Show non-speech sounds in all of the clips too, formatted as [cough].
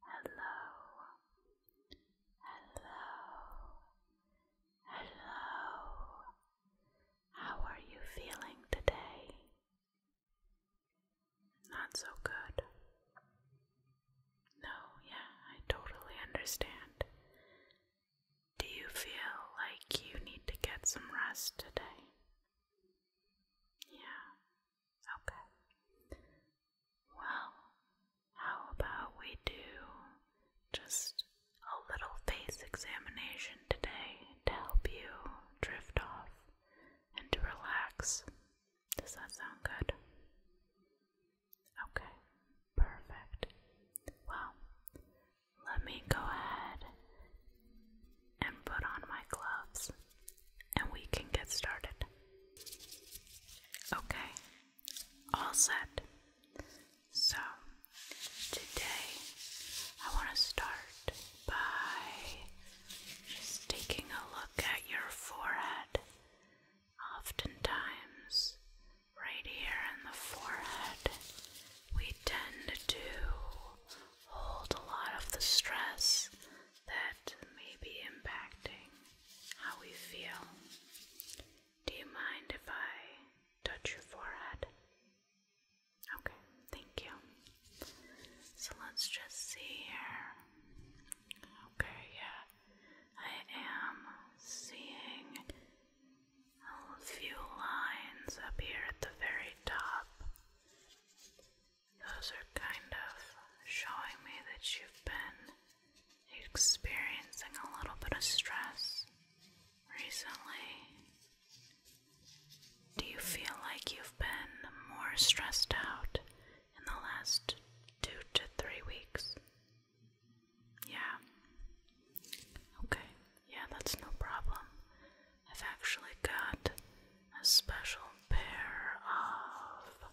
Hello, hello, hello. How are you feeling today? Not so good. No, yeah, I totally understand. Do you feel like you need to get some rest today? Yeah, Okay. Well, how about we do just a little face examination today to help you drift off and to relax? Does that sound good? Okay, perfect. Well, let me go ahead and put on my gloves, and we can get started. Okay, all set. So, today I want to start by just taking a look at your forehead. Oftentimes, right here in the forehead, we tend to hold a lot of the stress that may be impacting how we feel. Do you mind if I touch your forehead? Okay, thank you. So let's just see here. Okay, yeah, I am seeing a few lines up here at the very top. Those are kind of showing me that you've been experiencing a little bit of stress recently. Do you feel like you've been more stressed out in the last two to three weeks? Yeah. Okay. Yeah, that's no problem. I've actually got a special pair of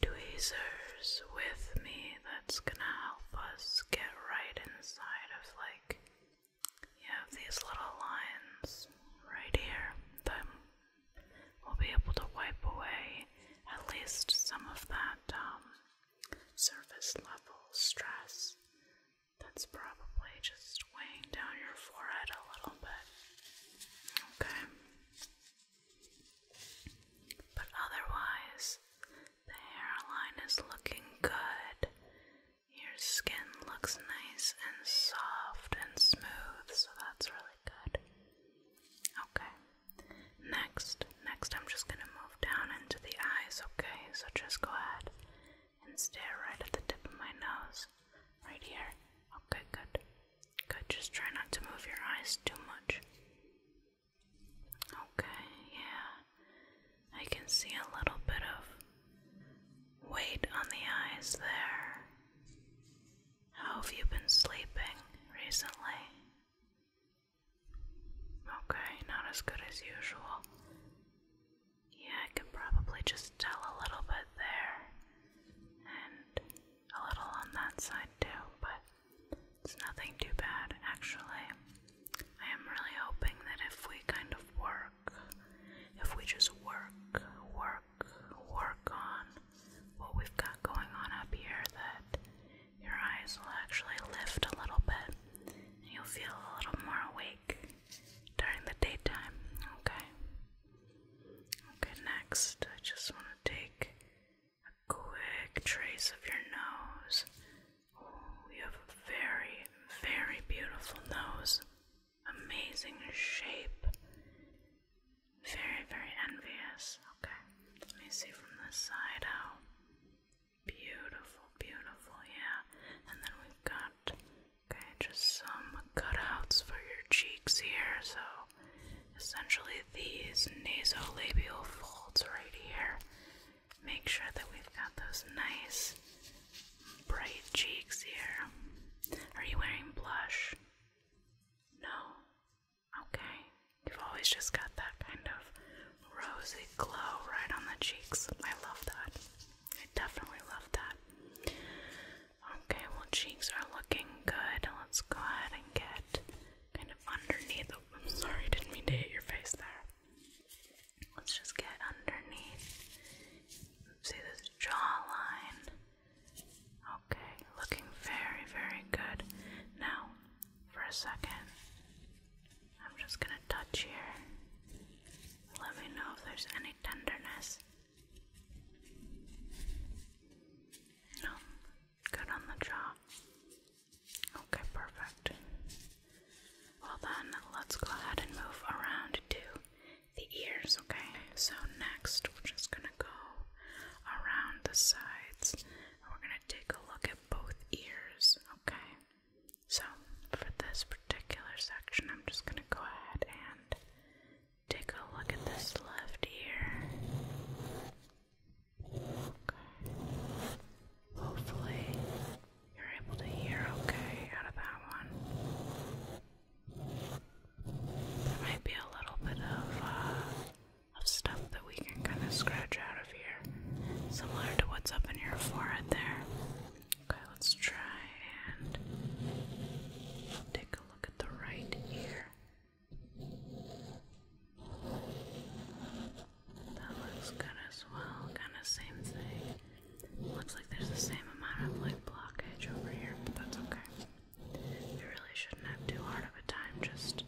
tweezers with me that's gonna help us get right inside of like you have these little lines right here that we'll be able to wipe away at least some of that um, surface level stress that's probably just weighing down your forehead a little bit. Okay. But otherwise, the hairline is looking good. Your skin looks nice and soft and smooth, so that's really good. Okay. Next, next I'm just going to move down into the eyes, okay? So just go ahead and Stare right at the tip of my nose. Right here. Okay, oh, good. Good, just try not to move your eyes too much. Okay, yeah. I can see a little bit of weight on the eyes there. How have you been sleeping recently? Okay, not as good as usual. Yeah, I can probably just tell a little bit there and a little on that side too, but it's nothing too bad actually. I am really hoping that if we kind of work, if we just work, work, work on what we've got going on up here, that your eyes will actually lift a little bit and you'll feel a little more awake during the daytime. Okay. Okay, next, I just want to take a quick trace of your nose. Oh, you have a very, very beautiful nose. Amazing shape. Very, very envious. Okay, let me see from this side how oh, beautiful, beautiful, yeah. And then we've got Okay, just some cutouts for your cheeks here. So essentially these nasolabial folds right here. Make sure that we've got those nice bright cheeks here. Are you wearing blush? No? Okay. You've always just got that kind of rosy glow right on the cheeks. I love that. I definitely love that. Okay, well, cheeks are looking good. Let's go ahead and get kind of underneath. Oh, sorry, didn't mean to hit your face there. Let's just get underneath. See this jawline. Okay, looking very, very good. Now, for a second, I'm just gonna touch here. Let me know if there's tenderness. No, good on the jaw. Okay, perfect. Well, then let's go ahead and move around to the ears, okay? So, next, we're just gonna go around the sides and we're gonna take a look at both ears, okay? So, for this particular section, I'm just going to go ahead and take a look at this left ear. Okay. Hopefully, you're able to hear okay out of that one. There might be a little bit of, uh, of stuff that we can kind of scratch out of here, similar to what's up in your forehead there. Okay, let's try and take a look at the right ear. That looks good as well, kind of same thing. Looks like there's the same amount of like blockage over here, but that's okay. We really shouldn't have too hard of a time just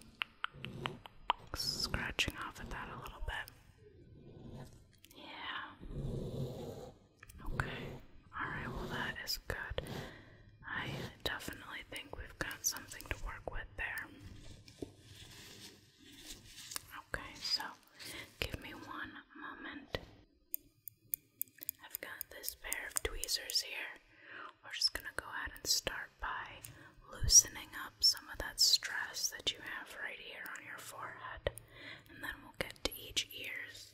scratching off at that a little bit. Yeah. Okay. Alright, well, that is good. I definitely think we've got something to work with there. Okay, so give me one moment. I've got this pair of tweezers here. We're just going to go ahead and start by loosening up some of that stress that you have right here on your forehead and then we'll get to each ears.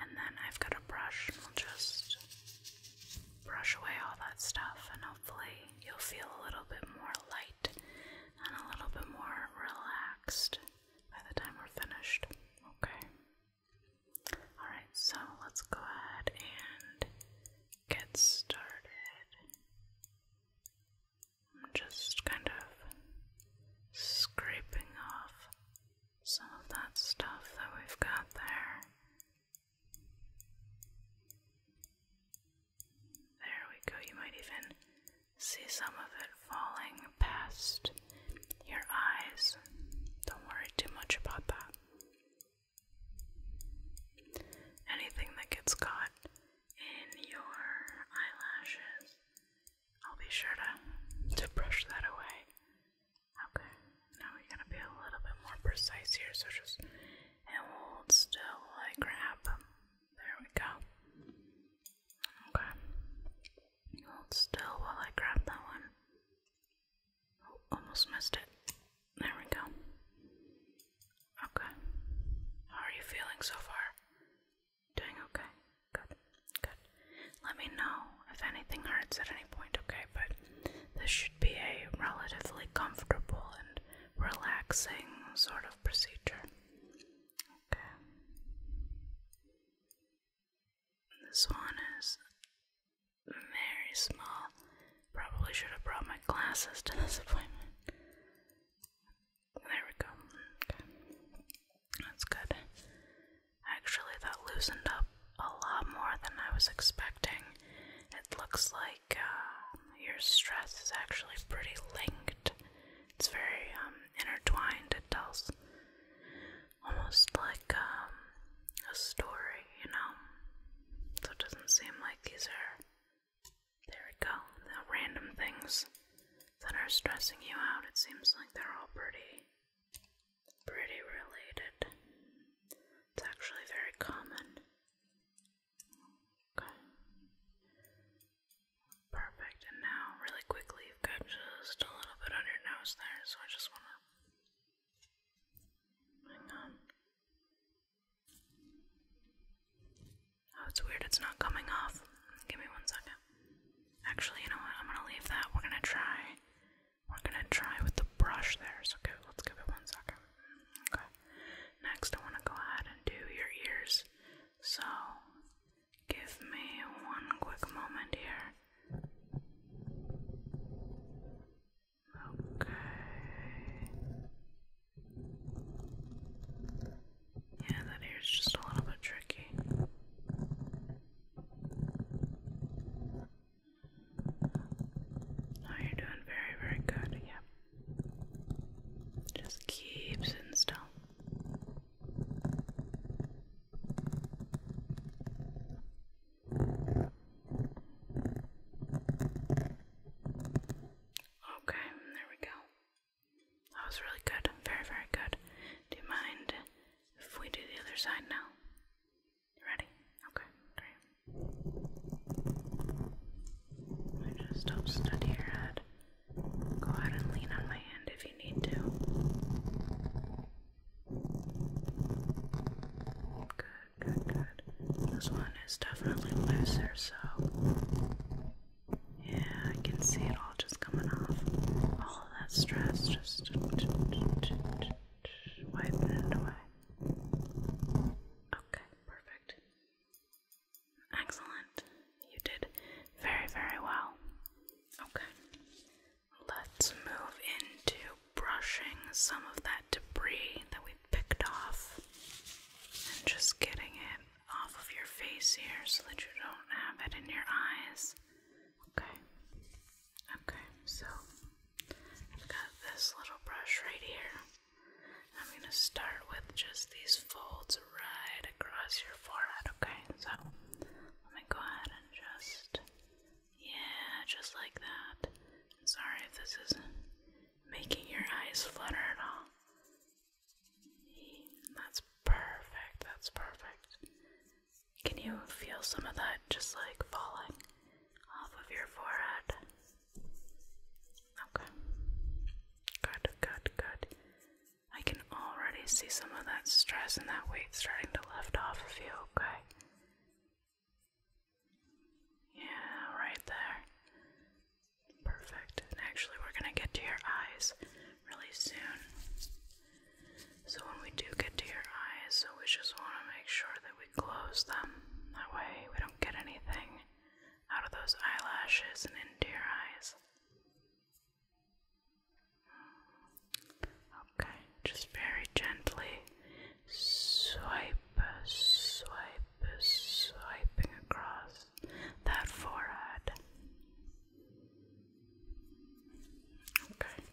And then I've got a brush, and we'll just brush away all that stuff, and hopefully, you'll feel a little bit more light and a little bit more relaxed by the time we're finished. Okay. Alright, so let's go ahead and get started. I'm just kind of scraping off some of that stuff that we've got there. There we go. You might even see some of it falling past your eyes. Don't worry too much about that. Anything that gets caught in your eyelashes. I'll be sure to, to brush that away. Okay, now we are going to be a little bit more precise here, so just hold still while I grab. There we go. Okay. Hold still while I grab that one. Oh, almost missed it. There we go. Okay. How are you feeling so far? Doing okay. Good. Good. Let me know if anything hurts at any point, okay? But this should be a relatively comfortable and relaxing sort of procedure. Okay. This one is very small. Probably should have brought my glasses to this appointment. There we go. That's good. Actually, that loosened up a lot more than I was expecting. It looks like uh, your stress is actually pretty linked. It's very um, intertwined. It tells almost like um, a story, you know? So it doesn't seem like these are there we go. The random things that are stressing you out, it seems like they're all pretty pretty related. It's actually very common. Okay. Perfect. And now really quickly you've got just a little bit on your nose there, so I just wanna hang on. Oh, it's weird, it's not coming off. Give me one second. Actually, you know what? I'm gonna leave that. We're gonna try. We're gonna try with the brush there. So okay, let's give it one second. Okay. Next, I wanna go ahead and do your ears. So, give me one quick moment here. Okay. Yeah, that ear's just a little bit tricky. Oh, you're doing very, very good. Yep. Just keep sitting still. Okay, there we go. That was really good. Very, very good. Do you mind if we do the other side now? ready? Okay, great. Let me just study your head. Go ahead and lean on my hand if you need to. Good, good, good. This one is definitely looser, so yeah, I can see it all just coming off. All that stress just wiping it away. Okay, perfect. Excellent. You did very, very well. Okay. Let's move into brushing some of that debris that we picked off and just getting it off of your face here so that you don't have it in your eyes. Okay. Okay, so I've got this little brush right here. I'm going to start with just these folds right across your forehead, okay? So let me go ahead and just, yeah, just like that. sorry if this isn't making your eyes flutter at all. That's perfect. That's perfect. Can you feel some of that just like falling off of your forehead? Okay. Good, good, good. I can already see some of that stress and that weight starting to lift off of you, okay? Yeah, right there. Perfect. And actually, we're going to get to your eyes really soon. So, when we do get to your eyes, so we just want to make sure that we close them. That way, we don't get anything out of those eyelashes and into your eyes. Okay, just very gently swipe, swipe, swiping across that forehead. Okay.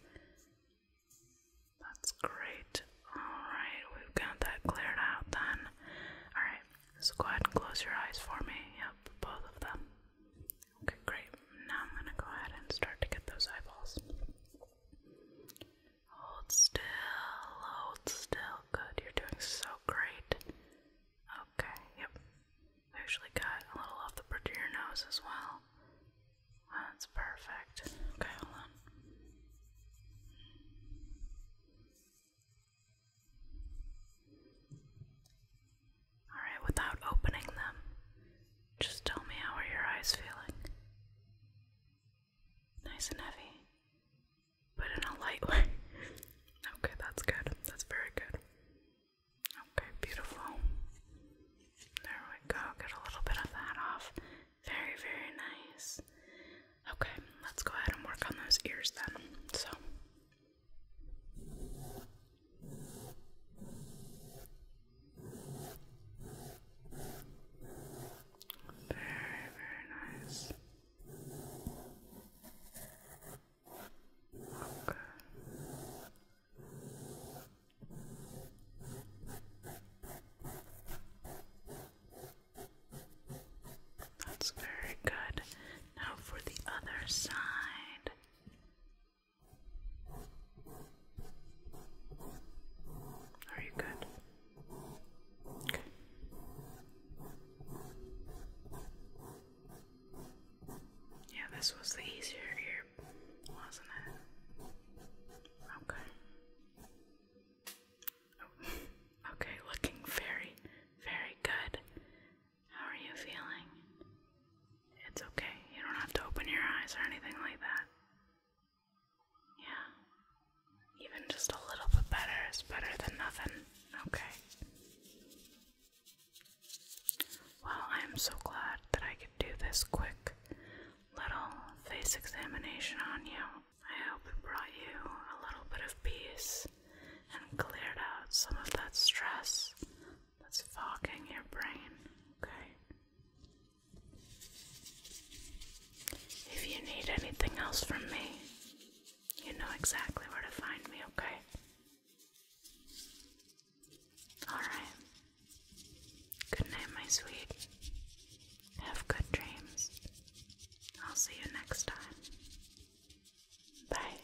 That's great. Alright, we've got that cleared out then. Alright, so go ahead and close your eyes for me. Yep, both of them. Okay, great. Now I'm gonna go ahead and start to get those eyeballs. Hold still, hold still. Good, you're doing so great. Okay, yep. I actually got a little off the bridge of your nose as well. That's perfect. Okay, hold on. Alright, without opening them, just tell me how are your eyes feeling? Nice and heavy but in a light way. [laughs] okay, that's good. That's very good. Okay, beautiful. There we go. Get a little bit of that off. Very, very nice. Okay, let's go ahead and work on those ears then. So. Very, very nice. Okay. That's very good. Now for the other side. Are you good? Yeah, this was the easier ear, wasn't it? Okay. Oh, okay, looking very, very good. How are you feeling? It's okay. You don't have to open your eyes or anything like that. Yeah. Even just a little bit better is better than nothing. Okay. Well, I am so glad that I could do this quick little face examination on you. I hope it brought you a little bit of peace and cleared out some of that stress that's fogging your brain. Okay. If you need anything else from me, you know exactly where to find me, okay? Alright. Good night, my sweet. Have good dreams. I'll see you next time. Bye.